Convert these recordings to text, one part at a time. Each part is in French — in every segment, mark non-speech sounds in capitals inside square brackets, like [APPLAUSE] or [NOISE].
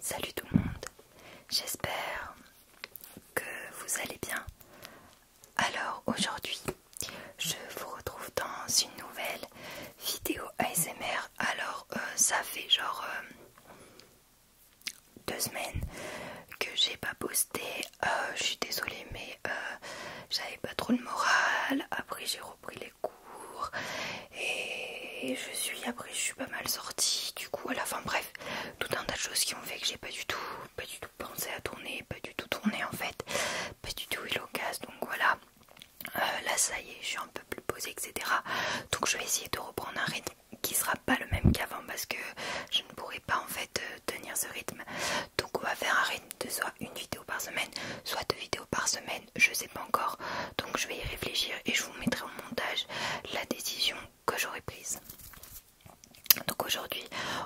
Salut tout le monde, j'espère que vous allez bien. Alors aujourd'hui, je vous retrouve dans une nouvelle vidéo ASMR. Alors euh, ça fait genre euh, deux semaines que j'ai pas posté. Euh, je suis désolée mais j'avais pas trop le moral. Après j'ai repris les cours et je suis après je suis pas mal sorti du coup à la fin bref tout un tas de choses qui ont fait que j'ai pas du tout pas du tout pensé à tourner pas du tout tourner en fait pas du tout eu donc voilà euh, là ça y est je suis un peu plus posée etc donc je vais essayer de reprendre un rythme qui sera pas le même qu'avant parce que je ne pourrai pas en fait euh, tenir ce rythme donc on va faire un rythme de soit une vidéo par semaine soit deux vidéos par semaine je je sais pas encore. Donc je vais y réfléchir et je vous mettrai au montage la décision que j'aurai prise. Donc aujourd'hui,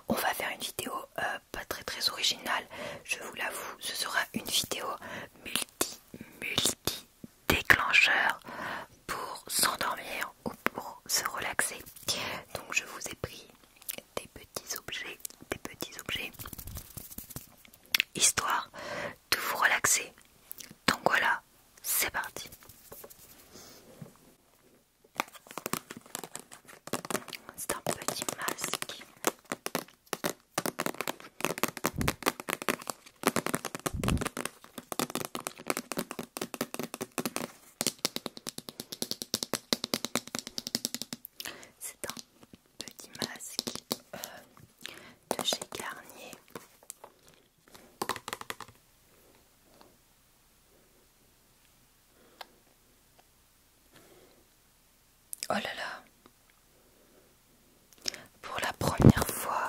on va faire une vidéo euh, pas très très originale, je vous l'avoue, ce sera une vidéo multi multi déclencheur pour s'endormir ou pour se relaxer. Donc je vous ai pris des petits objets, des petits objets histoire de vous relaxer. Donc voilà, c'est parti. C'est un petit masque. C'est un petit masque euh, de chez Garnier. Oh là là Pour la première fois,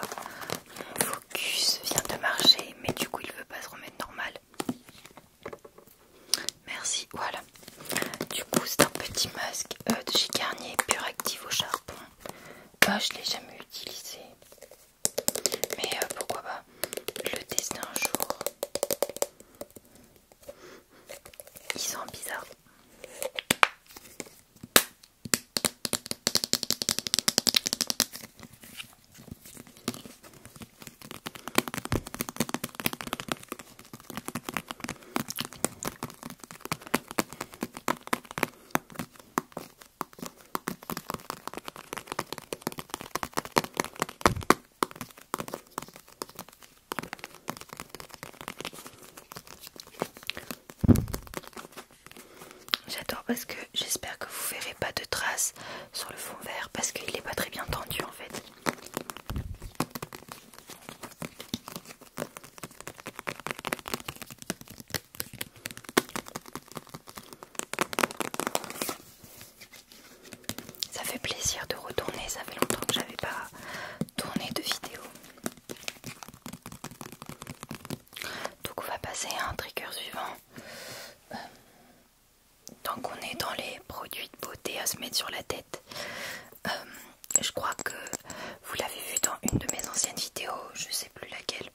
mon focus vient de marcher, mais du coup il veut pas se remettre normal. Merci, voilà. Du coup c'est un petit masque euh, de chez Garnier pur active au charbon. pas bah, je l'ai jamais utilisé, mais euh, pourquoi pas le tester un jour. il sent bizarre J'adore parce que j'espère que vous verrez pas de traces sur le fond vert parce qu'il n'est pas très bien tendu en fait. Ça fait plaisir de retourner, ça fait longtemps que j'avais pas tourné de vidéo. Donc on va passer à un trigger suivant. Euh, tant qu'on est dans les produits de beauté à se mettre sur la tête, euh, je crois que vous l'avez vu dans une de mes anciennes vidéos, je sais plus laquelle.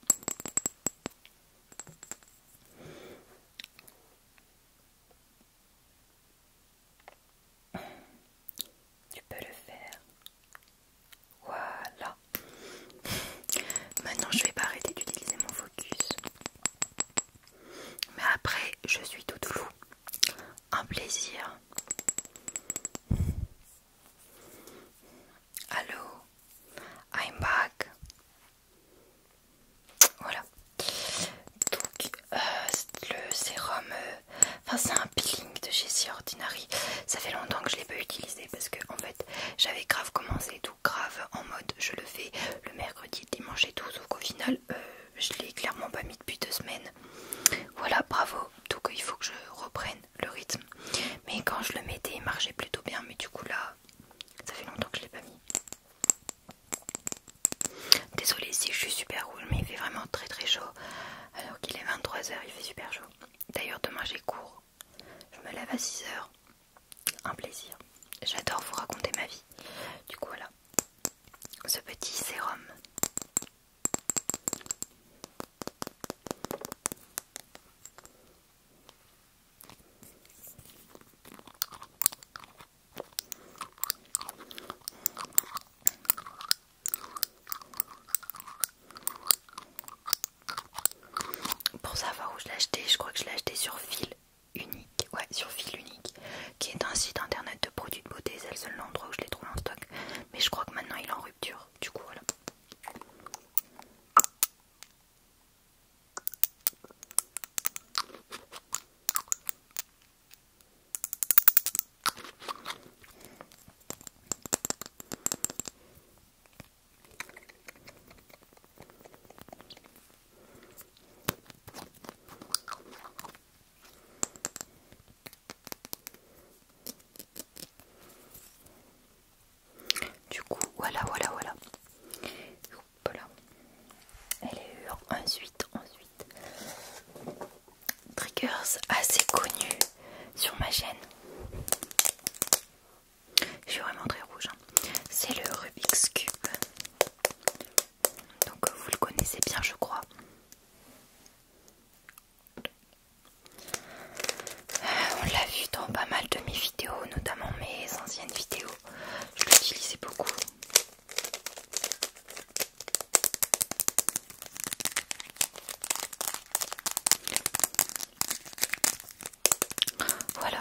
Tu peux le faire. Voilà. [LAUGHS] Maintenant, je vais pas arrêter d'utiliser mon focus. Mais après, je suis tout floue. Un plaisir Allô I'm back. Voilà. Donc, euh, le sérum. Euh, enfin, c'est un peeling de chez Ordinary. Ça fait longtemps que je l'ai pas utilisé parce que, en fait, j'avais grave commencé tout grave en mode je le fais le mercredi, dimanche et tout. Sauf final, euh, je l'ai clairement pas mis depuis deux semaines. Voilà, bravo. Donc il faut que je reprenne le rythme. Mais quand je le mettais, il marchait plutôt bien. Mais du coup là, ça fait longtemps que je l'ai pas mis. Désolée si je suis super cool, mais il fait vraiment très très chaud. Alors qu'il est 23h, il fait super chaud. D'ailleurs demain j'ai cours. Je me lève à 6h. Un plaisir. J'adore vous raconter ma vie. Du coup voilà ce petit sérum. Pour savoir où je l'ai acheté, je crois que je l'ai acheté sur fil unique. Ouais, sur fil unique qui est un site internet de produits de beauté, c'est le seul endroit où je les trouve en stock. Mais je crois que maintenant il est en rupture, du coup voilà. Du coup, voilà, voilà, voilà. Voilà. Elle est ensuite, ensuite. Triggers assez connus sur ma chaîne. Je suis vraiment très rouge. Hein. C'est le Rubik's Cube. Donc euh, vous le connaissez bien je crois. Euh, on l'a vu dans pas mal de mes vidéos, notamment mes anciennes vidéos. Je l'utilisais beaucoup. Voilà.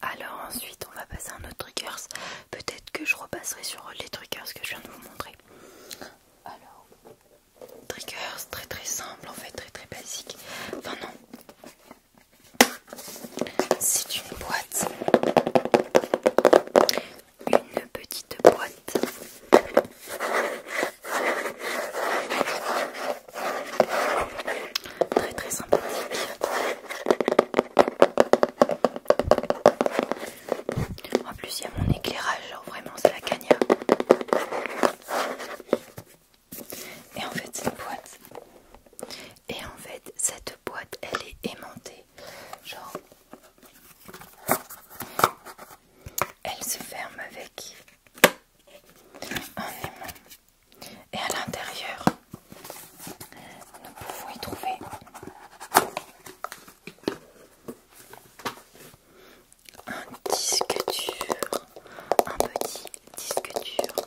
Alors ensuite on va passer à un autre triggers. Peut-être que je repasserai sur les triggers que je viens de vous montrer. Alors triggers très très simple en fait très très basique. Enfin non c'est une boîte, une petite boîte. Très très sympathique. En plus, il y a mon éclairage, genre vraiment, c'est la cagna. Et en fait, c'est une boîte et en fait cette boîte elle est aimantée genre elle se ferme avec un aimant et à l'intérieur nous pouvons y trouver un disque dur un petit disque dur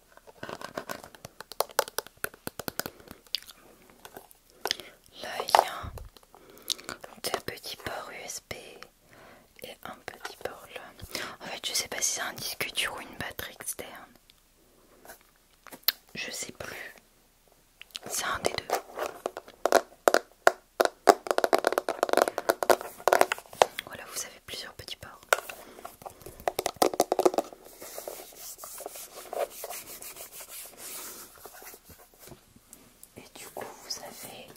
Là, il y a un petit port USB et un petit port là. En fait, je sais pas si c'est un disque dur ou une batterie externe. Je sais plus. C'est un des deux. Voilà, vous avez plusieurs petits ports. Et du coup, vous avez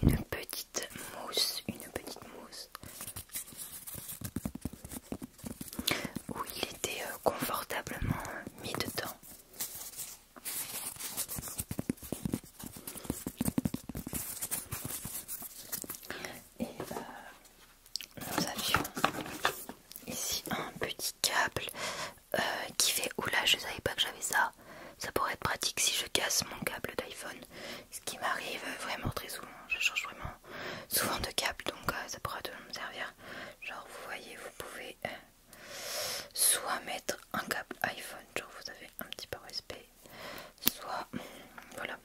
une petite mousse, une petite mousse où il était euh, confortablement mis dedans. Et bah, nous avions ici un petit câble euh, qui fait oula je savais pas que j'avais ça ça pourrait être pratique si je casse mon câble d'iPhone ce qui m'arrive vraiment très souvent je change vraiment souvent de câble donc euh, ça pourrait de me servir genre vous voyez vous pouvez euh, soit mettre un câble iPhone genre vous avez un petit peu respect soit voilà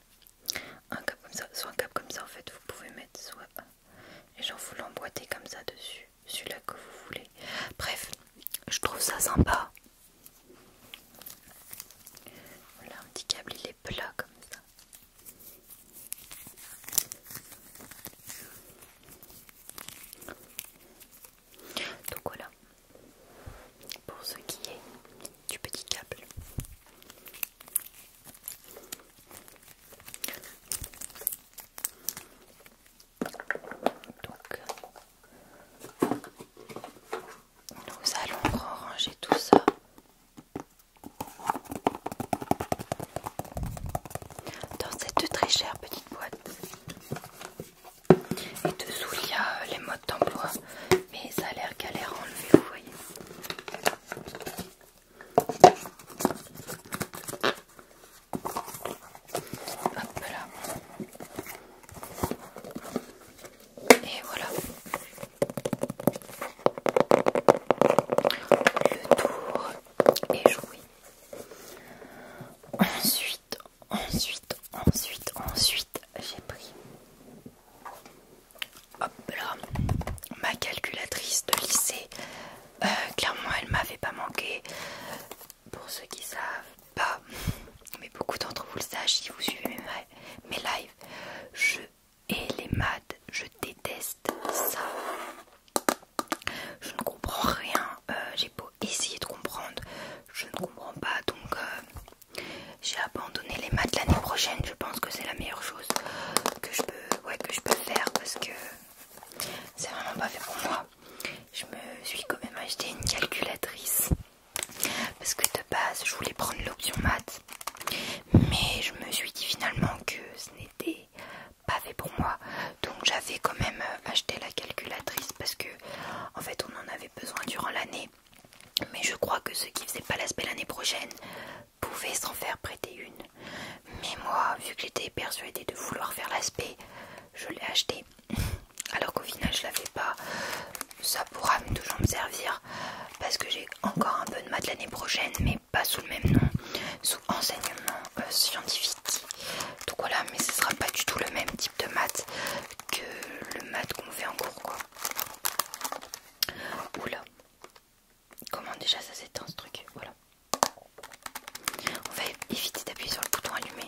un câble comme ça, soit un câble comme ça en fait vous pouvez mettre soit les et vous l'emboîtez comme ça dessus, celui-là que vous voulez. Bref, je trouve ça sympa. Voilà un petit câble, il est plat comme ça. Donc voilà pour ce qui est du petit câble nous allons ranger tout ça. Dans cette très chère petite boîte. Et dessous, il y a les modes d'emploi mais ça a l'air galère à enlever, vous voyez. Hop là. Et voilà. Le tour est joué. Ensuite, ensuite, ensuite, ensuite, j'ai pris Hop là, ma calculatrice de lycée, euh, clairement elle m'avait pas manqué. Pour ceux qui savent pas, mais beaucoup d'entre vous le savent si vous suivez mes, lives, je hais les maths, je déteste ça. Je ne comprends rien, euh, j'ai beau essayer de comprendre, je ne comprends pas donc euh, j'ai abandonné les maths l'année prochaine. Je pense que c'est la meilleure chose que je peux, faire parce que c'est vraiment pas fait pour moi. Je me suis quand même acheté une calculatrice parce que de base je voulais prendre l'option maths, mais je me suis dit finalement que ce n'était pas fait pour moi. Donc j'avais quand même acheté la calculatrice parce que en fait on en avait besoin durant l'année mais je crois que ceux qui faisaient pas l'aspect l'année prochaine pouvaient s'en faire prêter une. Mais moi, vu que j'étais persuadée de vouloir faire l'aspect, je l'ai acheté. [LAUGHS] Alors qu'au final, je l'avais pas. Ça pourra toujours me servir parce que j'ai encore un peu de maths l'année prochaine, mais pas sous le même nom, sous enseignement euh, scientifique. Donc voilà, mais ce sera pas du tout le même type de maths que le maths qu'on fait en cours, quoi. Oula. Comment déjà ça s'étend ce truc Voilà. On va éviter d'appuyer sur le bouton allumé.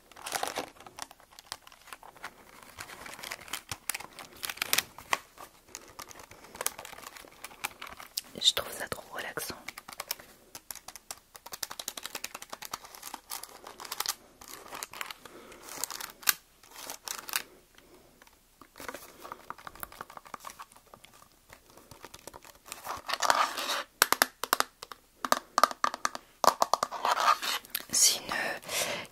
Je trouve ça trop relaxant. C'est une euh,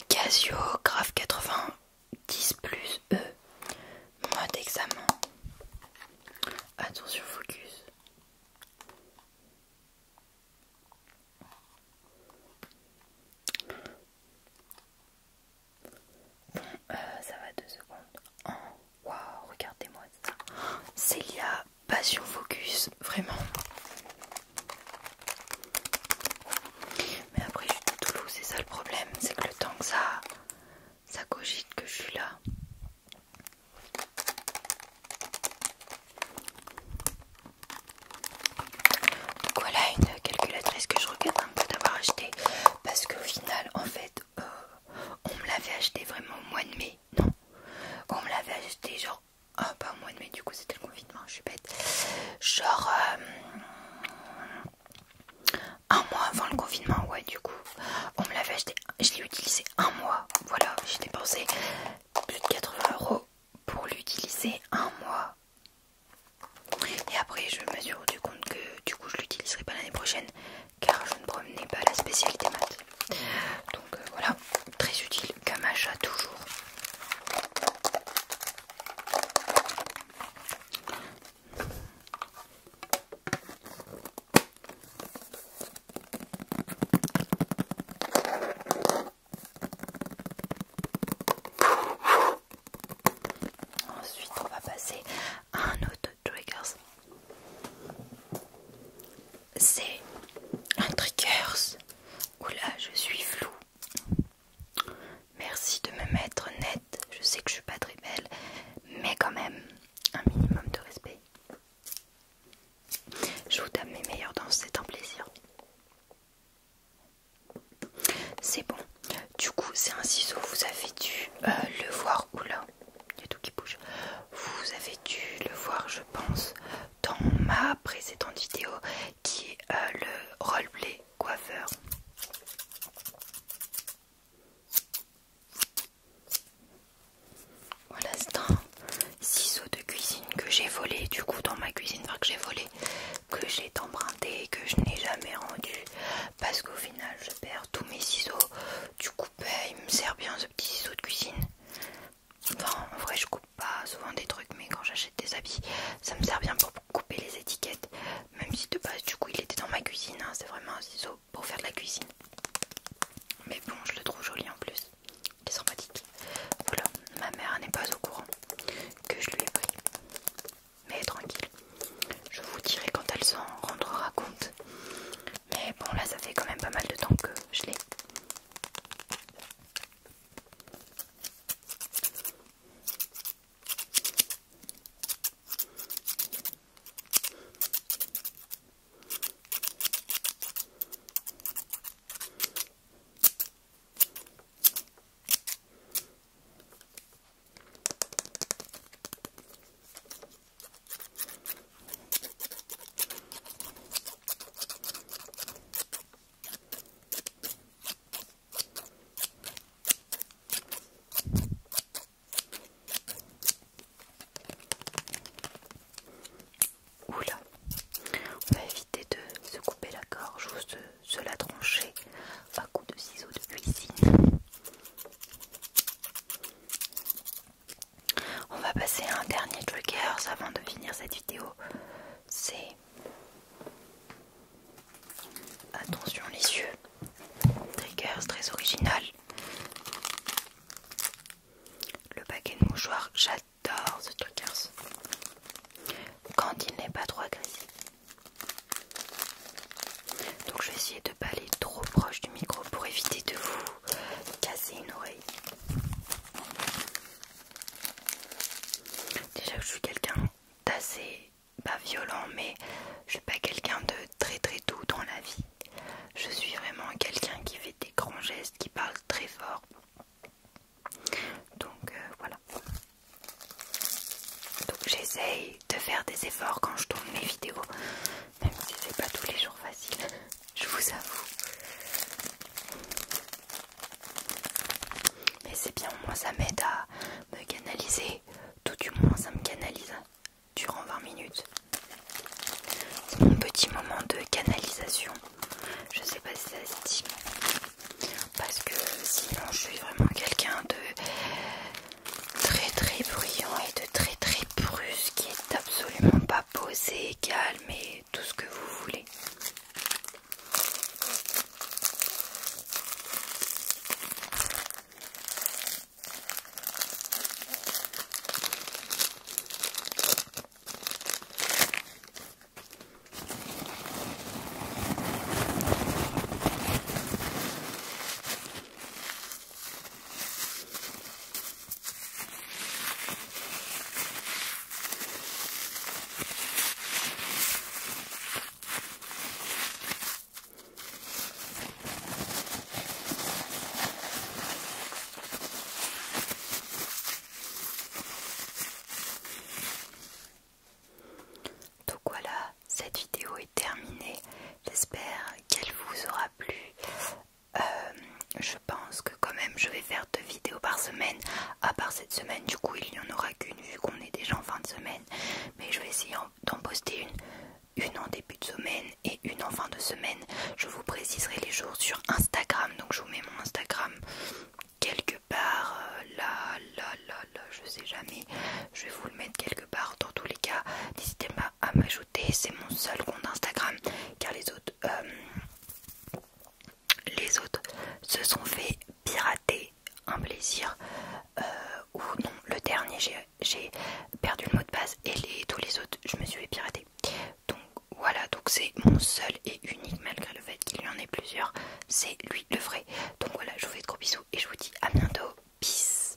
Casio Graph 90 plus E mode examen. Attention, focus. Euh, ça va deux secondes. Oh, wow, regardez-moi ça. Célia passion focus, vraiment. Mais après, je suis tout Toulouse, c'est ça le problème, c'est que le temps que ça, ça cogite que je suis là. Donc voilà une calculatrice que je regrette un peu d'avoir acheté parce qu'au final en fait euh, on me l'avait acheté vraiment au mois de mai non on me l'avait acheté genre ah, pas au mois de mai, du coup c'était le confinement, je suis bête. Genre euh, un mois avant le confinement, ouais, du coup on me l'avait acheté, je l'ai utilisé un mois. Voilà, j'ai dépensé plus de 80 euros pour l'utiliser un mois. Et après, je me suis rendu compte que du coup je l'utiliserai pas l'année prochaine car je ne promenais pas la spécialité maths. Donc euh, voilà, très utile comme toujours. Ensuite, on va passer à un autre triggers c'est un triggers oula je suis floue. Merci de me mettre nette. Je sais que je suis pas très belle, mais quand même un minimum de respect. Je vous donne mes meilleures danses, c'est un plaisir. C'est bon. Du coup, c'est un ciseau. Vous avez dû euh, le voir. Oula, il y a tout qui bouge. Vous avez dû le voir, je pense, dans ma précédente vidéo qui est euh, le roleplay coiffeur. Voilà, c'est un ciseau de cuisine que j'ai volé du coup dans ma cuisine, enfin que j'ai volé, que j'ai emprunté, que je n'ai jamais rendu parce qu'au final je perds tous mes ciseaux. Du coup, bah, il me sert bien ce petit ciseau de cuisine en vrai, je coupe pas souvent des trucs, mais quand j'achète des habits, ça me sert bien pour couper les étiquettes. Même si de base, du coup, il était dans ma cuisine. Hein, c'est vraiment un ciseau pour faire de la cuisine. Mais bon, je le trouve joli en plus. Il est sympathique. Voilà, ma mère n'est pas au courant que je lui ai pris. Mais tranquille, je vous dirai quand elle s'en rendra compte. Mais bon, là ça fait quand même pas mal de temps que je l'ai. Oula, on va éviter de se couper la gorge ou se, se la trancher à coup de ciseaux de cuisine. On va passer à un dernier triggers avant de finir cette vidéo. C'est attention les yeux. Triggers très original. Le paquet de mouchoirs, j'adore ce triggers. Quand il n'est pas trop agressif. Donc je vais essayer de pas aller trop proche du micro pour éviter de vous casser une oreille. Déjà je suis quelqu'un d'assez pas violent, mais je suis pas quelqu'un de très très doux dans la vie. Je suis vraiment quelqu'un qui fait des grands gestes, qui parle très fort. Donc euh, voilà. Donc j'essaye de faire des efforts quand je tourne mes vidéos même si c'est pas tous les jours facile, [LAUGHS] je vous avoue. Mais c'est bien, au moins ça m'aide à me canaliser, tout du moins ça me canalise hein, durant 20 minutes. C'est mon petit moment de canalisation. Je sais pas si ça se dit, parce que sinon je suis vraiment quelqu'un de très très bruyant et de très très qui qui est absolument pas posé, calme et tout ce que vous voulez. Donc voilà, cette vidéo est terminée. J'espère qu'elle vous aura plus, euh, je pense que quand même je vais faire deux vidéos par semaine. À part cette semaine, du coup il n'y en aura qu'une vu qu'on est déjà en fin de semaine. Mais je vais essayer d'en poster une, une en début de semaine et une en fin de semaine. Je vous préciserai les jours sur Instagram. Donc je vous mets mon Instagram quelque part euh, là, là, là, là, je sais jamais. Je vais vous le mettre quelque part. Dans tous les cas, n'hésitez pas à m'ajouter, c'est mon seul compte Instagram car les autres euh, les autres se sont fait pirater un plaisir euh, ou non le dernier j'ai perdu le mot de passe et les, tous les autres je me suis fait pirater donc voilà donc c'est mon seul et unique malgré le fait qu'il y en ait plusieurs c'est lui le vrai donc voilà je vous fais de gros bisous et je vous dis à bientôt peace